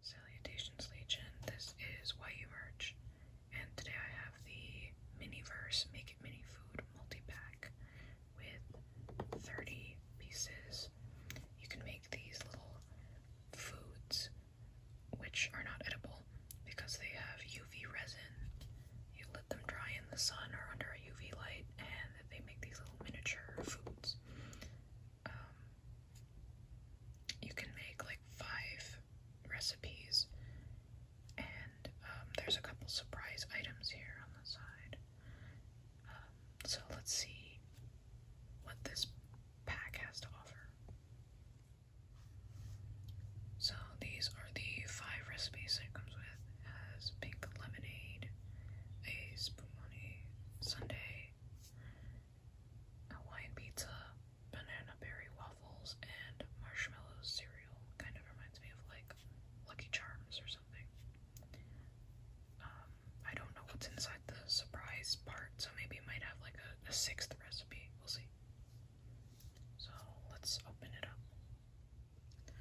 Salutations Legion, this is YU Merch, and today I have the Miniverse Make It Mini Food multi-pack with 30 pieces. You can make these little foods, which are not edible because they have UV resin. You let them dry in the sun or under a UV light, and they make these little miniature foods. Um, you can make like five recipes, and um, there's a couple surprise items here on the side. Um, so let's see what this pack has to offer. So these are the five recipes it comes with. It has pink lemonade, a spumoni Sunday. Hawaiian pizza, banana berry waffles, and marshmallow cereal. Kind of reminds me of like Lucky Charms or something. Um, I don't know what's inside the surprise part, so maybe it might have like a, sixth recipe. We'll see. So let's open it up.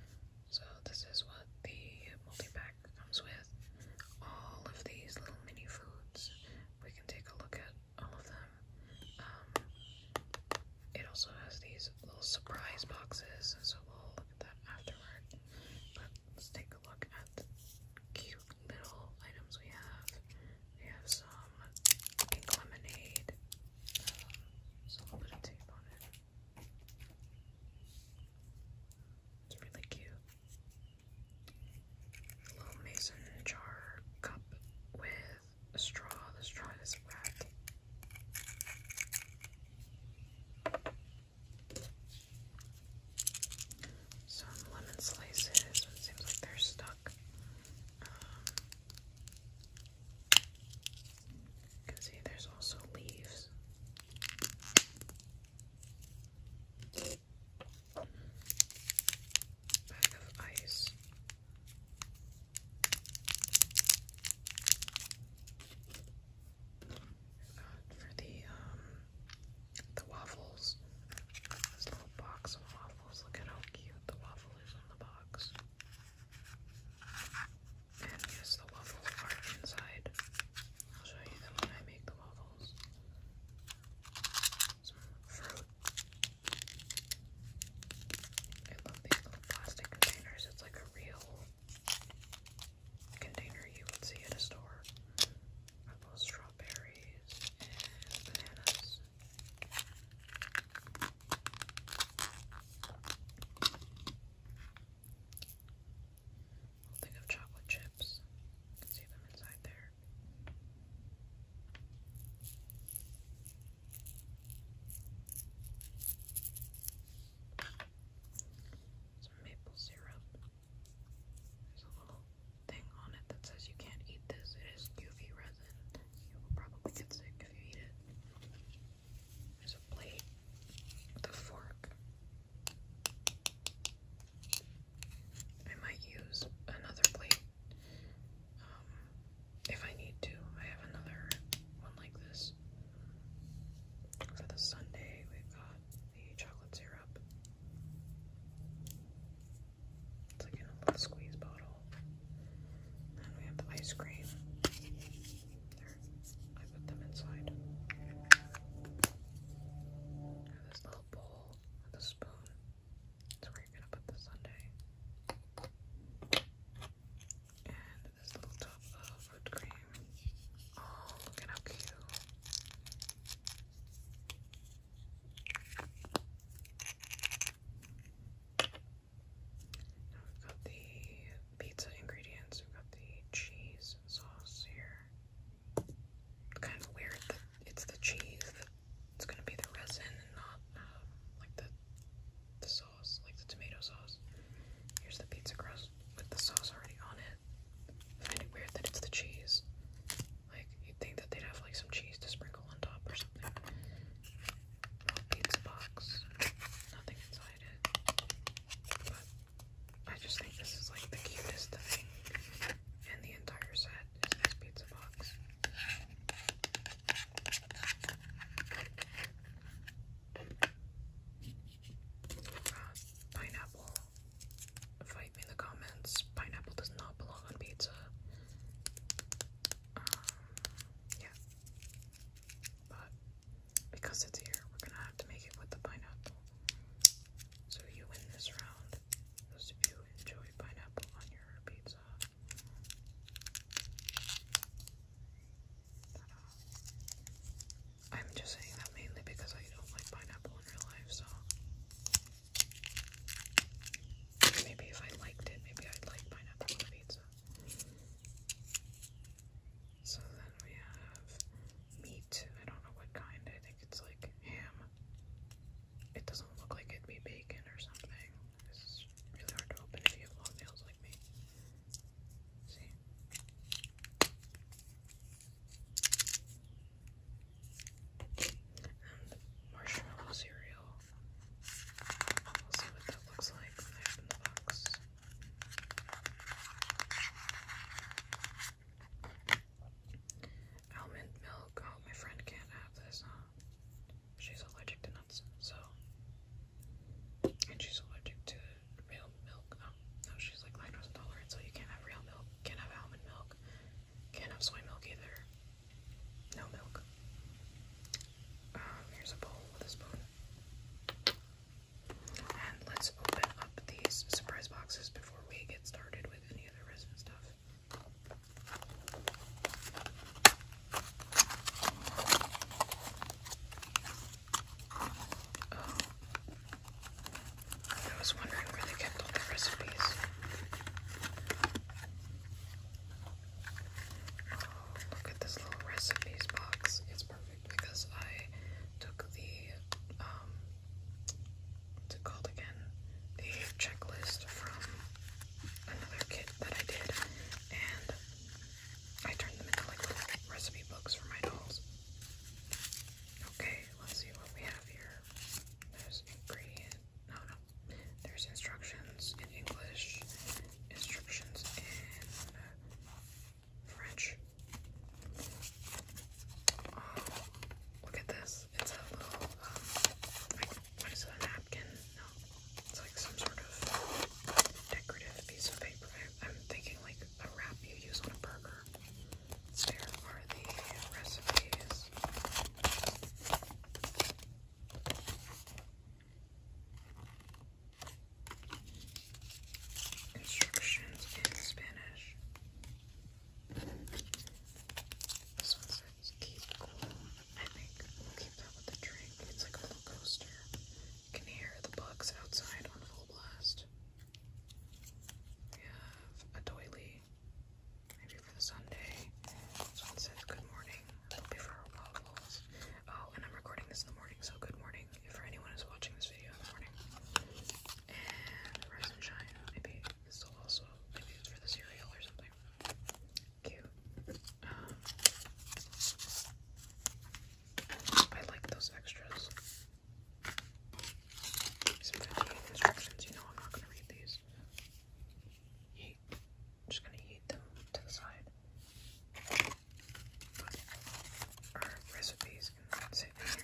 So this is what the multi-pack comes with all of these little mini foods. We can take a look at all of them. Um, it also has these little surprise boxes, so we'll look at that afterward. But let's take a look at the cute little items we have. We have some pink lemonade, um, so a little bit of tape on it. really cute. A little mason jar cup with a straw. The straw is wet. Some lemon slices. It seems like they're stuck. Um, you can see there's also leaves. Bag of ice. Uh, for the um, the waffles. This little box of waffles. Look at how cute the waffle is in the box. And yes, the waffles are inside. I'll show you them when I make the waffles some fruit. I love these little plastic containers. It's like a real container you would see at a store. I love strawberries and bananas thing of chocolate chips. see them inside there. Some maple syrup. There's a little thing on it that says you can't eat this. It is UV resin. You will probably get sick if you eat it. There's a plate with fork. I might use another plate um, if I need to. I have another one like this. For the Sunday, we've got the chocolate syrup. It's like a little squeeze bottle. And we have the ice cream. There, I put them inside. The bowl with a spoon. That's where you're gonna put the sundae. And this little tub of whipped cream. Oh, look at how cute. Now we've got the pizza ingredients. We've got the cheese sauce here kind of weird that it's the cheese that it's gonna be the resin and not uh, like the the sauce, like the tomato sauce. Here's the pizza crust with the sauce already on it. I find it weird that it's the cheese. Like you'd think that they'd have like some cheese to sprinkle on top or something. Pizza box, nothing inside it. I just think this is like the cutest thing and the entire set is pizza box. Uh, pineapple. Fight me in the comments. Pineapple does not belong on pizza. Um, yeah. But because it's here, we're gonna have to make it with the pineapple. So you win this round. Those of you enjoy pineapple on your pizza. I'm just saying that mainly because I don't like pineapple in real life, so maybe if I liked it, maybe I'd like pineapple on pizza. So then we have meat. I don't know what kind. I think it's like ham. It doesn't look like it'd be bacon or something. It's really hard to open if you have long nails like me. See? marshmallow cereal. We'll see what that looks like when the box. Almond milk. Oh, my friend can't have this, huh? She's allergic to nuts, so. And she's allergic to real milk. Oh, no, she's like lactose intolerant, so you can't have real milk, can't have almond milk, can't have soy milk either. No milk. Um, here's a bowl with a spoon. And let's open up these surprise boxes before we get started with um, I was wondering where they kept all the recipes. Oh, look at this little recipes box. It's perfect because I took the um, what's it called again? The checklist from another kit that I did, and I turned them into like recipe books for my dolls. Okay, let's see what we have here. There's ingredient. No, no. There's instructions in English, instructions in uh, French, um, look at this. It's a little, um, like, what is it, a napkin? No. It's like some sort of decorative piece of paper. I'm thinking like a wrap you use on a burger. There are the recipes. Instructions in Spanish. This one says keep cool. I think keep that with the drink. It's like a little coaster. can hear the bugs outside on full blast. We have a doily, maybe for the Sunday. This one says good morning. It'll be for our waffles. Oh, and I'm recording this in the morning, so good morning for anyone who's watching this video in the morning. And rise shine, maybe so also maybe it's for the cereal or something. Cute. Um, I like those extras. instructions, you know I'm not gonna read these. just gonna eat them to the side. our recipes can sit here.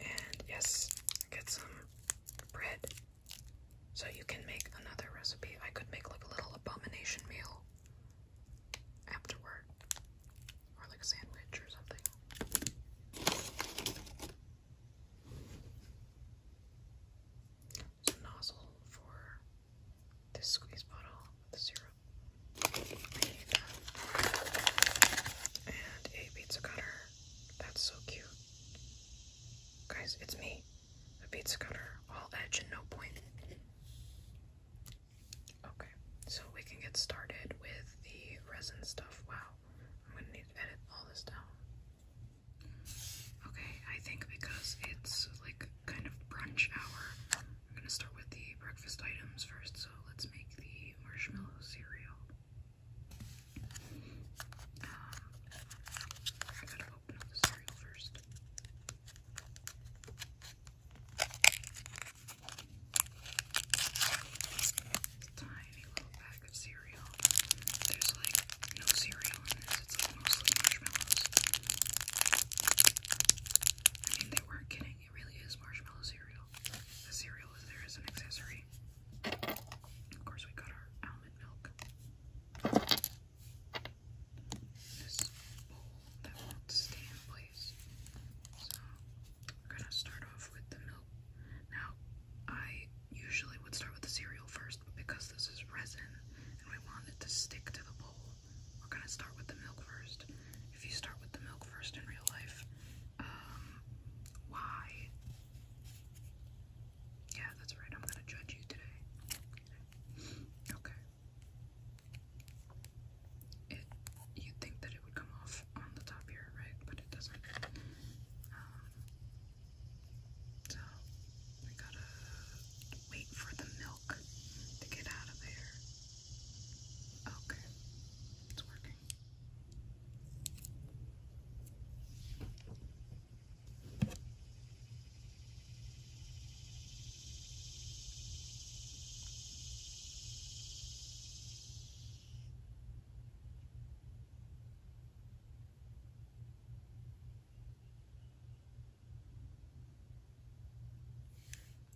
And yes, get some bread. So you can make another recipe. I could make like a little abomination meal afterward. Or like a sandwich or something. It's nozzle for this squeeze bottle with zero, And a pizza cutter. That's so cute. Guys, it's me. A pizza cutter, all edge and no point. Okay, so we can get started with the resin stuff. Wow, I'm gonna need to edit all this down. Okay, I think because it's like kind of brunch hour, I'm gonna start with the breakfast items first, so let's make the marshmallow cereal. Um, I gotta open up the cereal first. tiny little bag of cereal. There's like no cereal in this, it's mostly marshmallows they were kidding. It really is marshmallow cereal. The cereal is there as an accessory. Of course, we got our almond milk. This bowl that will stay in place. So, we're gonna start off with the milk. Now, I usually would start with the cereal first, but because this is resin and we want it to stick to the bowl, we're gonna start with the milk first. If you start with the milk first in real life, um, why? Yeah, that's right. I'm gonna judge you today. Okay. It. you think that it would come off on the top here, right? But it doesn't. Um, so we gotta wait for the milk to get out of there. Okay, it's working.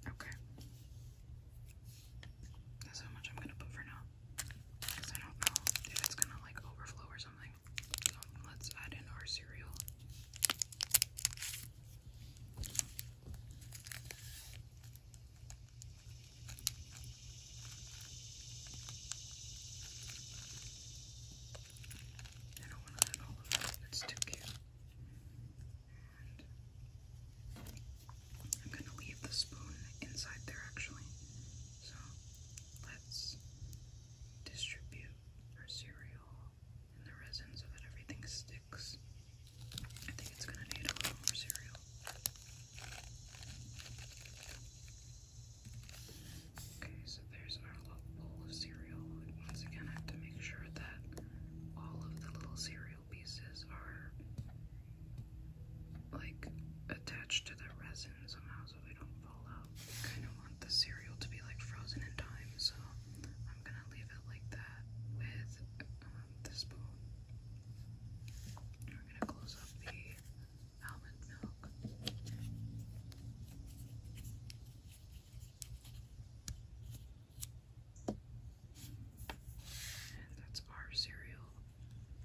Okay. That's how much I'm gonna put for now. Because I don't know if it's gonna like overflow or something. let's add in our cereal. I don't want to add all of it. It's too cute. I'm gonna leave the spoon inside there actually. So let's distribute our cereal and the resins so that everything sticks. I think it's gonna need a little more cereal. Okay, so there's our little bowl of cereal once again, I have to make sure that all of the little cereal pieces are like attached to the resin somehow so they don't fall out. kind of want the cereal to be like frozen in time, so I'm gonna leave it like that with um, the spoon. We're gonna close up the almond milk. And that's our cereal.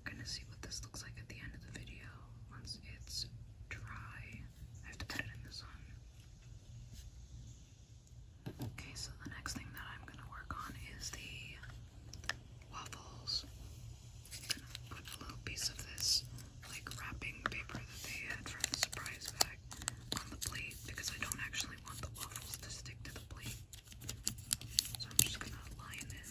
I'm gonna see what this looks like at the end of the video once it's dry. I have to put it in the sun. Okay, so the next thing that I'm gonna work on is the waffles. gonna put a little piece of this like wrapping paper that they had from the surprise bag on the plate because I don't actually want the waffles to stick to the plate. So I'm just gonna line it.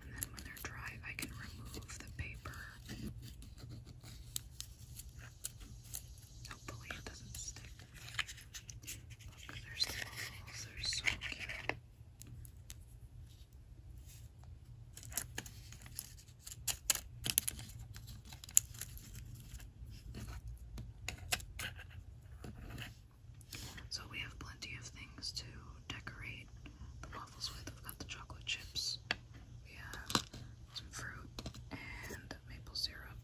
And then when they're dry, I can remove the paper. Hopefully it doesn't stick. Look, there's the waffles, they're so cute. So we have plenty of things to decorate the waffles with. We've got the chocolate chips, we have some fruit, and maple syrup.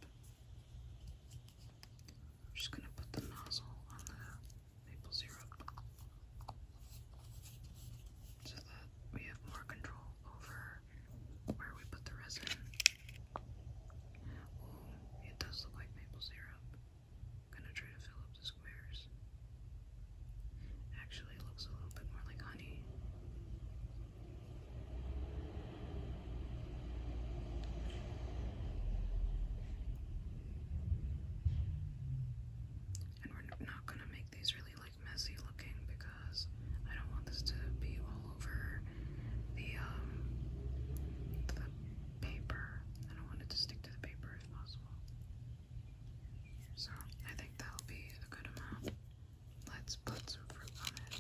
I'm just gonna put the nozzle on the maple syrup so that we have more control over where we put the resin. Oh, it does look like maple syrup. gonna try to fill up the squares. Actually, looks a little bit more like honey. And we're not gonna make these really like messy looking because I don't want this to be all over um, the paper. I don't want it to stick to the paper if possible. So I think that'll be a good amount. Let's put some fruit on it.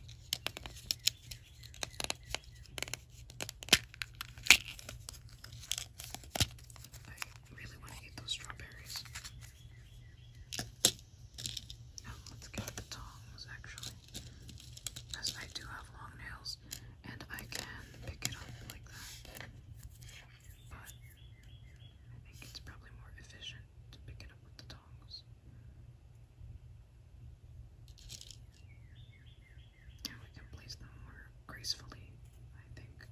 I really want to eat those strawberries let's get the tongs actually. Because I do have long nails and I can pick it up like that. But I think it's probably more efficient to pick it up with the tongs. And we can place them more gracefully, I think.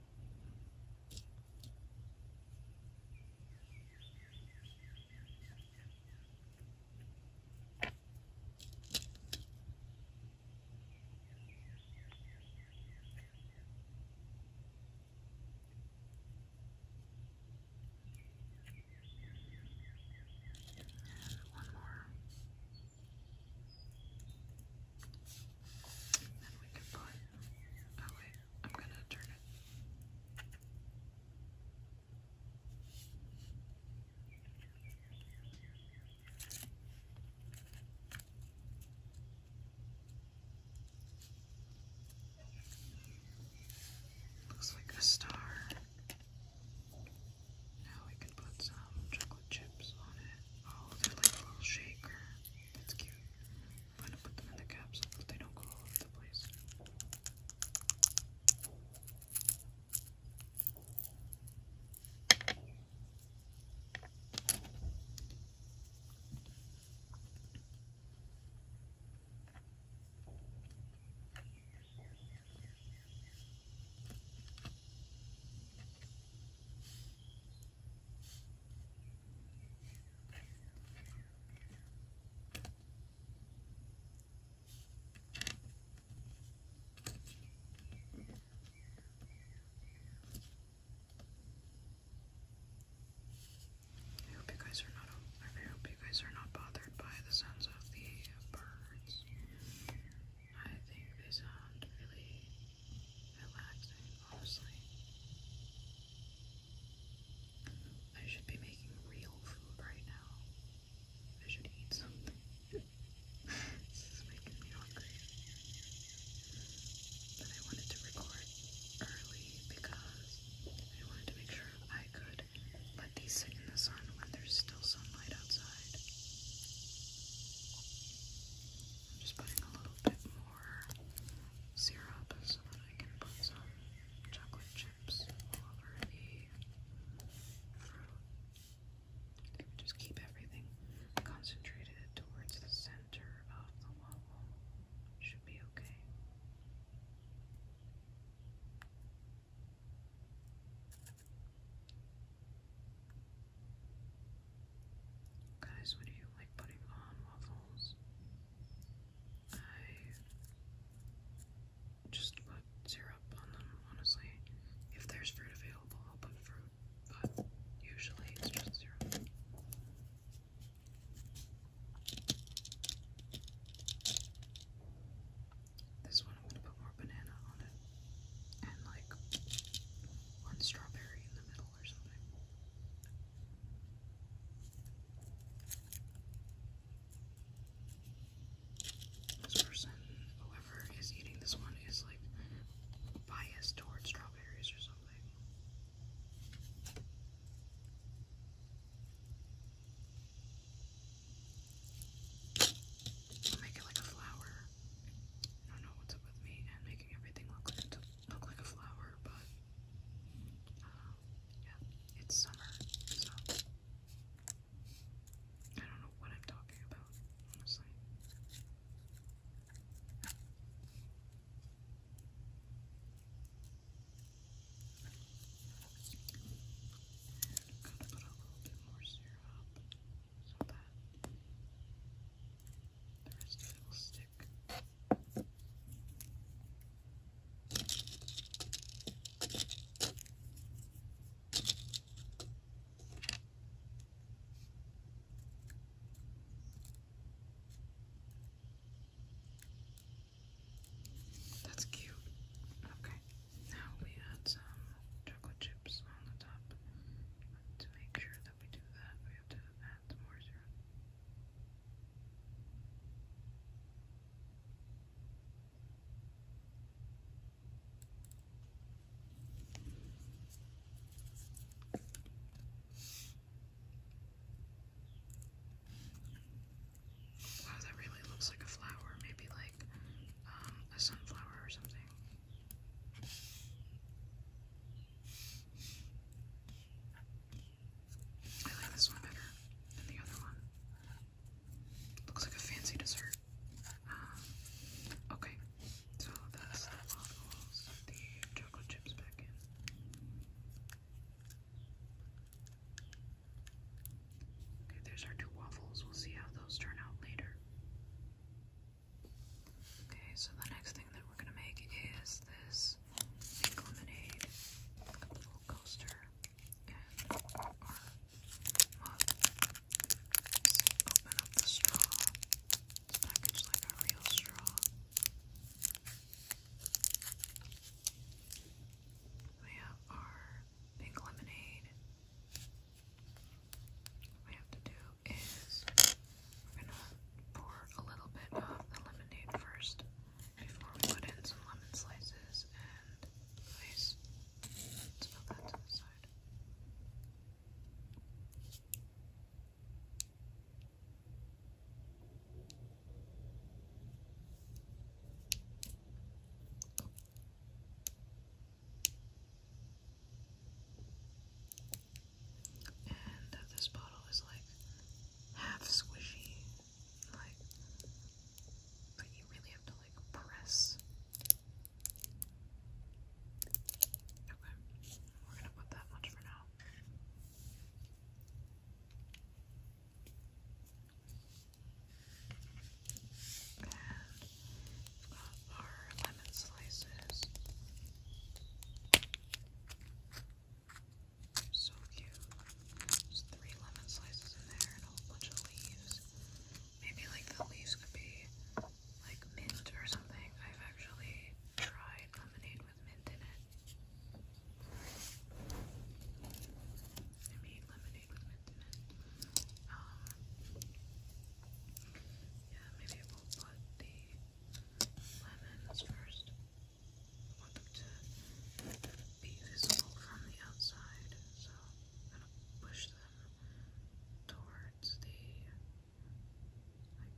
One more. Then we can put Oh wait, I'm gonna turn it. Looks like a star. Now we can put some chocolate chips on it. Oh, they're like little shaker. That's cute. I'm gonna put them in the capsule, but they don't go all over the place. I hope you guys are not. I hope you guys are not bothered by the sounds of the birds. I think they sound really relaxing, honestly. I should be making real food right now. I should eat something. this is making me hungry. But I wanted to record early because I wanted to make sure I could let these sit in the sun when there's still sunlight outside. I'm just putting a little bit more syrup so that I can put some chocolate chips over the fruit. just keep everything concentrated towards the center of the waffle. Should be okay. Guys, what do you like putting on waffles? I just put syrup on them, honestly. If there's fruit available, I'll put fruit, but usually it's just syrup. This one, I'm gonna put more banana on it, and like one strawberry in the middle or something. This person, whoever is eating this one, is like biased towards strawberries or something. I'll make it like a flower. I don't know what's up with me and making everything look like look like a flower, but um, yeah, it's summer, so I don't know what I'm talking about, honestly. gonna put a little bit more syrup so that the rest that's cute. Okay, now we add some chocolate chips on the top. To make sure that we do that, we have to add more syrup. Wow, that really looks like a flower, maybe like um, a sunflower or something. I like this one better than the other one. Looks like a fancy dessert. Um, okay, so that's the waffles, the chocolate chips back in. Okay, there's our two waffles. We'll see how those turn out later. Okay, so the next thing that we're gonna make is this lemonade coaster and our mug. open up the straw. It's packaged like a real straw. We have our pink lemonade. What we have to do is we're gonna pour a little bit of the lemonade first before we put in some lemon slices and ice. Let's put that to the side. And this bottle is like half squishy, like, but you really have to like press. Okay, we're gonna put that much for now. And our lemon slices. So cute. There's three lemon slices in there and a whole bunch of leaves. Maybe like the leaves could be like mint or something. I've actually tried lemonade with mint in it. I lemonade with mint in it. Um, yeah, maybe we'll put the lemons first. I want them to be visible from the outside, so I'm gonna push them towards the like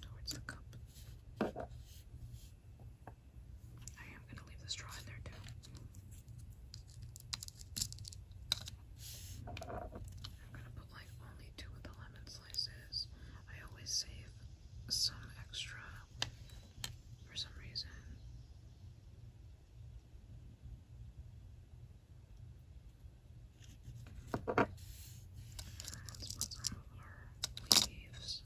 towards the cup. I am gonna leave the straw in there too. I'm gonna put like only two of the lemons I always save some extra for some reason. Let's put some our leaves.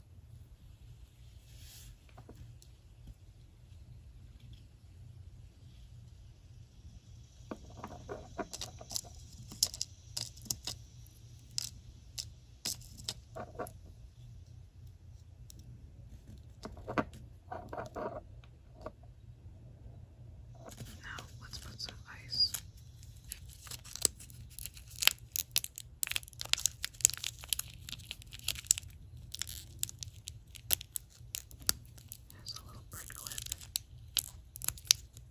Now let's put some ice. There's a little bread clip.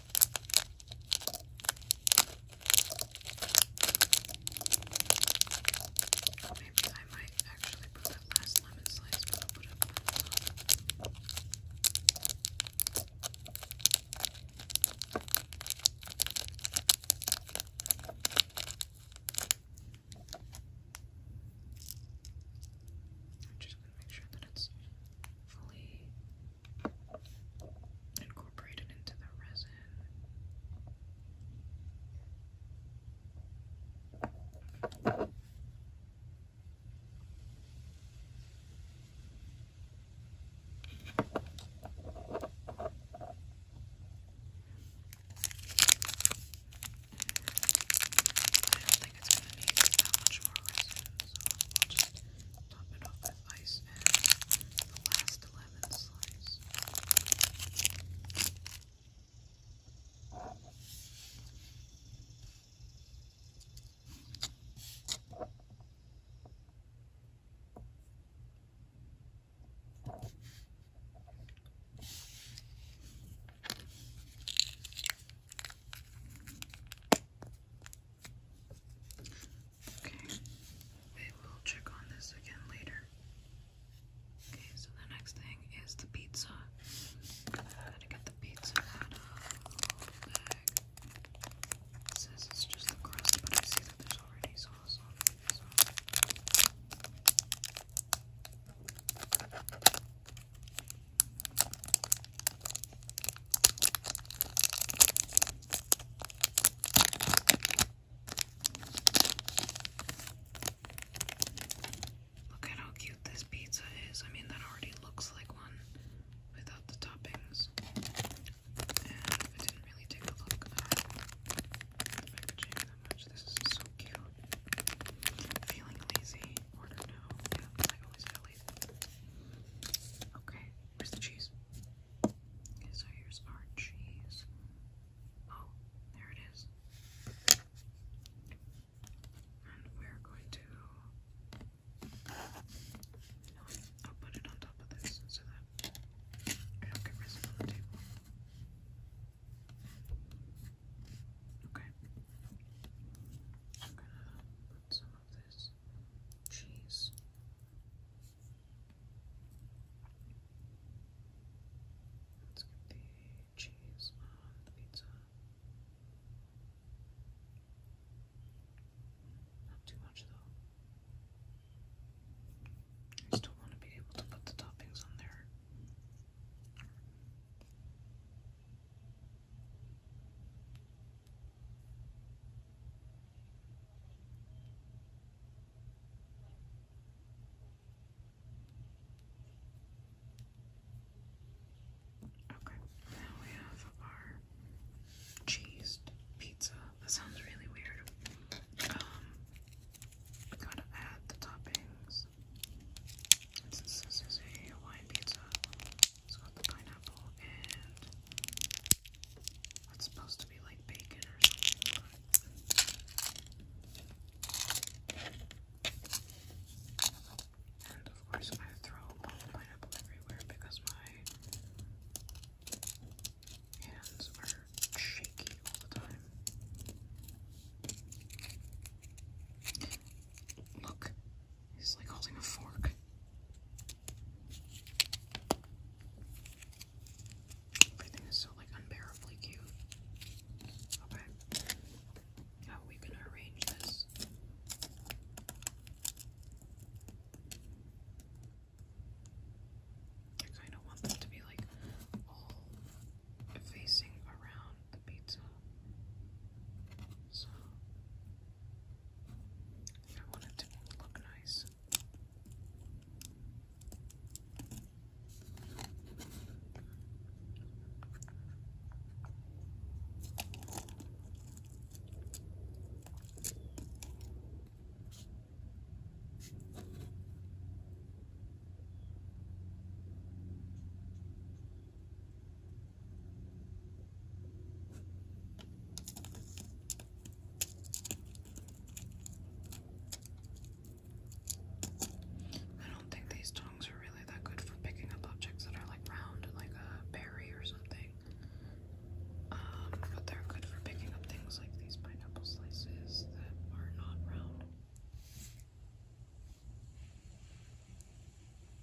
Maybe I might actually put that last lemon slice, but I'll put it on I'm just going to make sure that it's fully incorporated into the resin it's gonna be that much more resin, so I'll just top it off with ice and the last lemon slice. Okay, we will check on this again later. Okay, so the next thing is the pizza. I'm to get the pizza out of the bag. It says just the crust, but I see that there's already sauce on it. Look at how cute this pizza is. I mean, that already looks like one without the toppings. And I didn't really take a look at the packaging that much. This is so cute. Feeling lazy? Order now. I always feel lazy. Okay, where's the cheese? Okay, so here's our cheese. Oh, there it is. And we're going to. put it on top of this so that it'll get rest on the table. Okay. I'm gonna put some of this Jeez. Let's get the cheese on the pizza. Not too much though. I still want to be able to put the toppings on there. Okay, now we have our cheese pizza. That sounds really weird. Um, we gotta add the toppings. Since this is a Hawaiian pizza, it's got the pineapple and what's supposed to be like bacon or something. And of course, I throw pineapple everywhere because my hands are shaky all the time. Look, He's like holding a fork. Everything is so like unbearably cute. Okay. How are we gonna arrange this? I kinda want them to be like all facing around the pizza. So I want it to look nice. I don't think these tongs are really that good for picking up objects that are like round, like a berry or something. Um, but they're good for picking up things like these pineapple slices that are not round.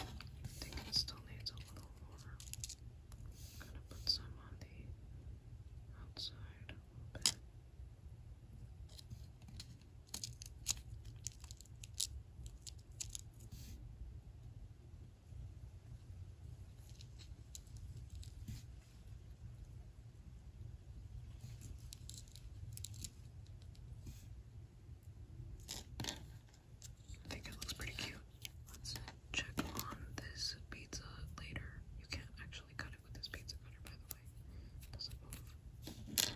I think it still needs a little more. going to put some on the outside a little bit. I think it looks pretty cute. Let's check on this pizza later. You can't actually cut it with this pizza cutter, by the way. doesn't move.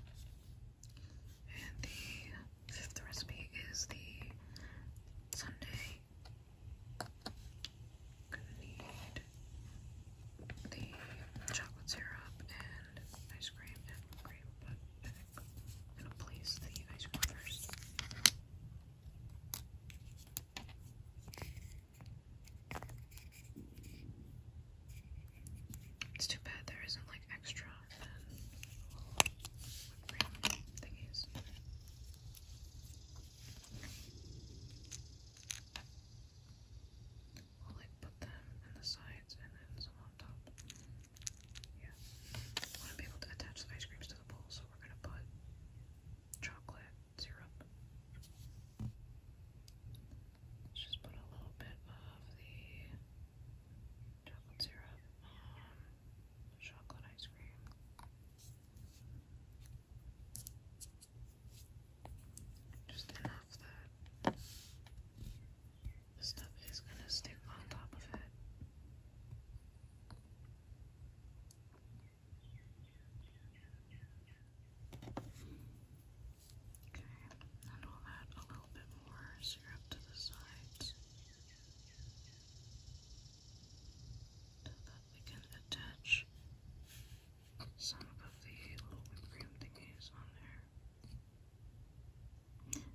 And the fifth recipe is the Sunday Gonna need the chocolate syrup and ice cream and whipped cream, but I think I'm gonna place the ice cream first. It's too bad there isn't like extra and whipped cream thingies. I'll like put them in the sides and then some on top. Yeah. I want to be able to attach the ice creams to the bowl, so we're gonna put chocolate syrup. Let's just put a little bit of the chocolate syrup on the chocolate ice cream. Just enough that the stuff is going to stick on top of it. Okay, and we'll add a little bit more syrup to the sides so that we can attach some of the little whipped cream thingies on there.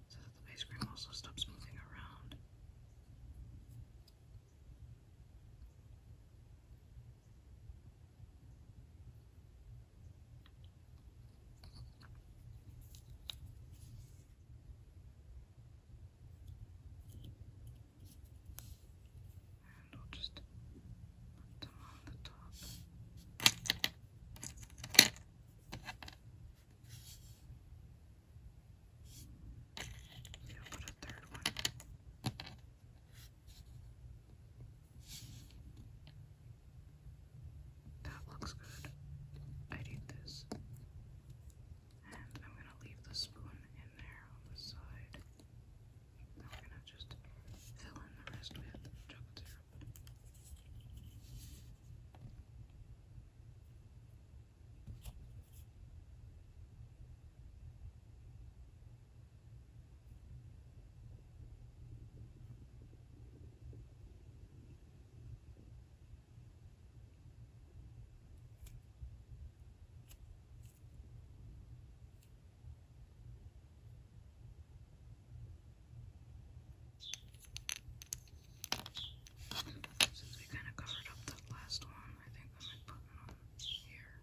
So that the base cream also stops moving around. And I'll just put them on the top. Yeah, put a third one. That looks good. I'd this. And I'm going to leave the spoon in there on the side. Now we're gonna just fill in the rest with chocolate syrup. Since we kind of covered up that last one, I think I might put one here.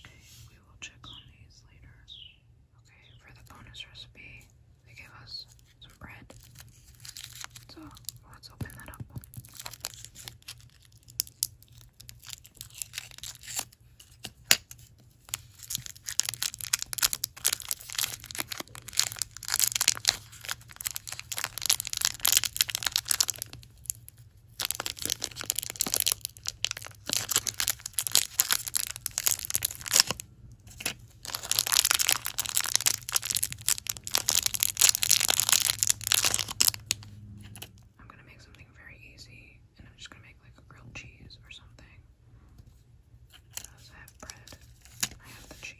Okay, we will check on these later. Okay, for the bonus recipe, they gave us some bread. So let's open that up. I'm gonna make something very easy, and I'm just gonna make like grilled cheese or something. Because I have bread, I have the cheese.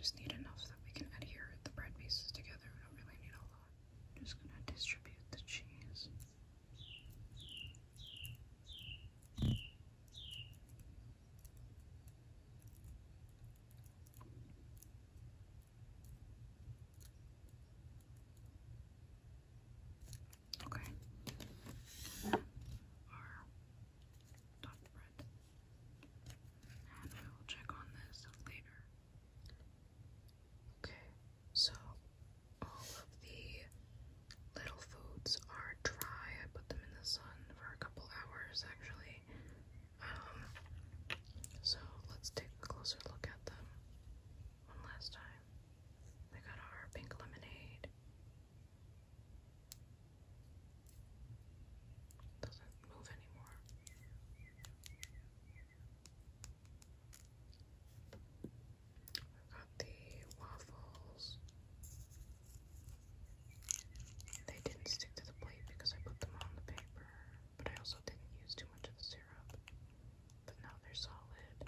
Just need enough that we can adhere the bread pieces together. We don't really need a lot. just gonna distribute the cheese. Okay. And then our topped And we will check on this later. Okay. So all of the little foods are dry. I put them in the sun for a couple hours actually. Um, so let's take a closer look at them one last time. We got our pink lemonade. Doesn't move anymore. I got the waffles. They didn't stick to the plate because I put them on the paper, but I also didn't use too much of the syrup. But now they're solid.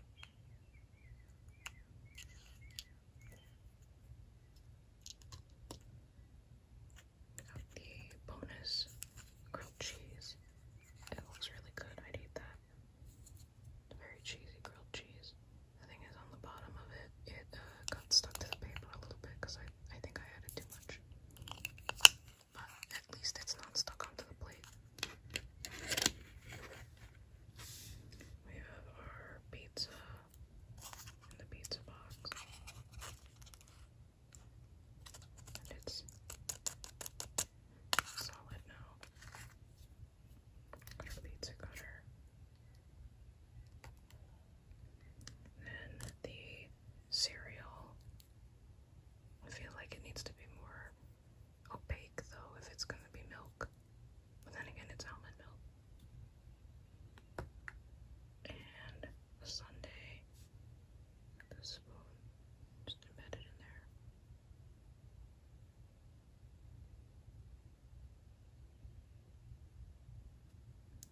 Got the bonus grilled cheese. It looks really good. I'd eat that very cheesy grilled cheese. The thing is, on the bottom of it, it uh, got stuck to the paper a little bit because I, I think I added too much. But at least it's not stuck onto the plate. We have our pizza in the pizza box. And it's solid now. Got our pizza then the cereal. I feel like it needs to be more opaque though if it's gonna be milk. But then again it's almond milk. And a The spoon just embedded in there.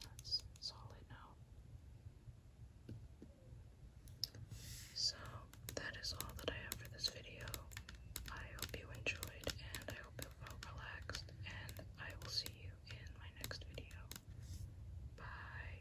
That's solid now. So, that is all that I have for this video. I hope you enjoyed, and I hope you felt relaxed, and I will see you in my next video. Bye.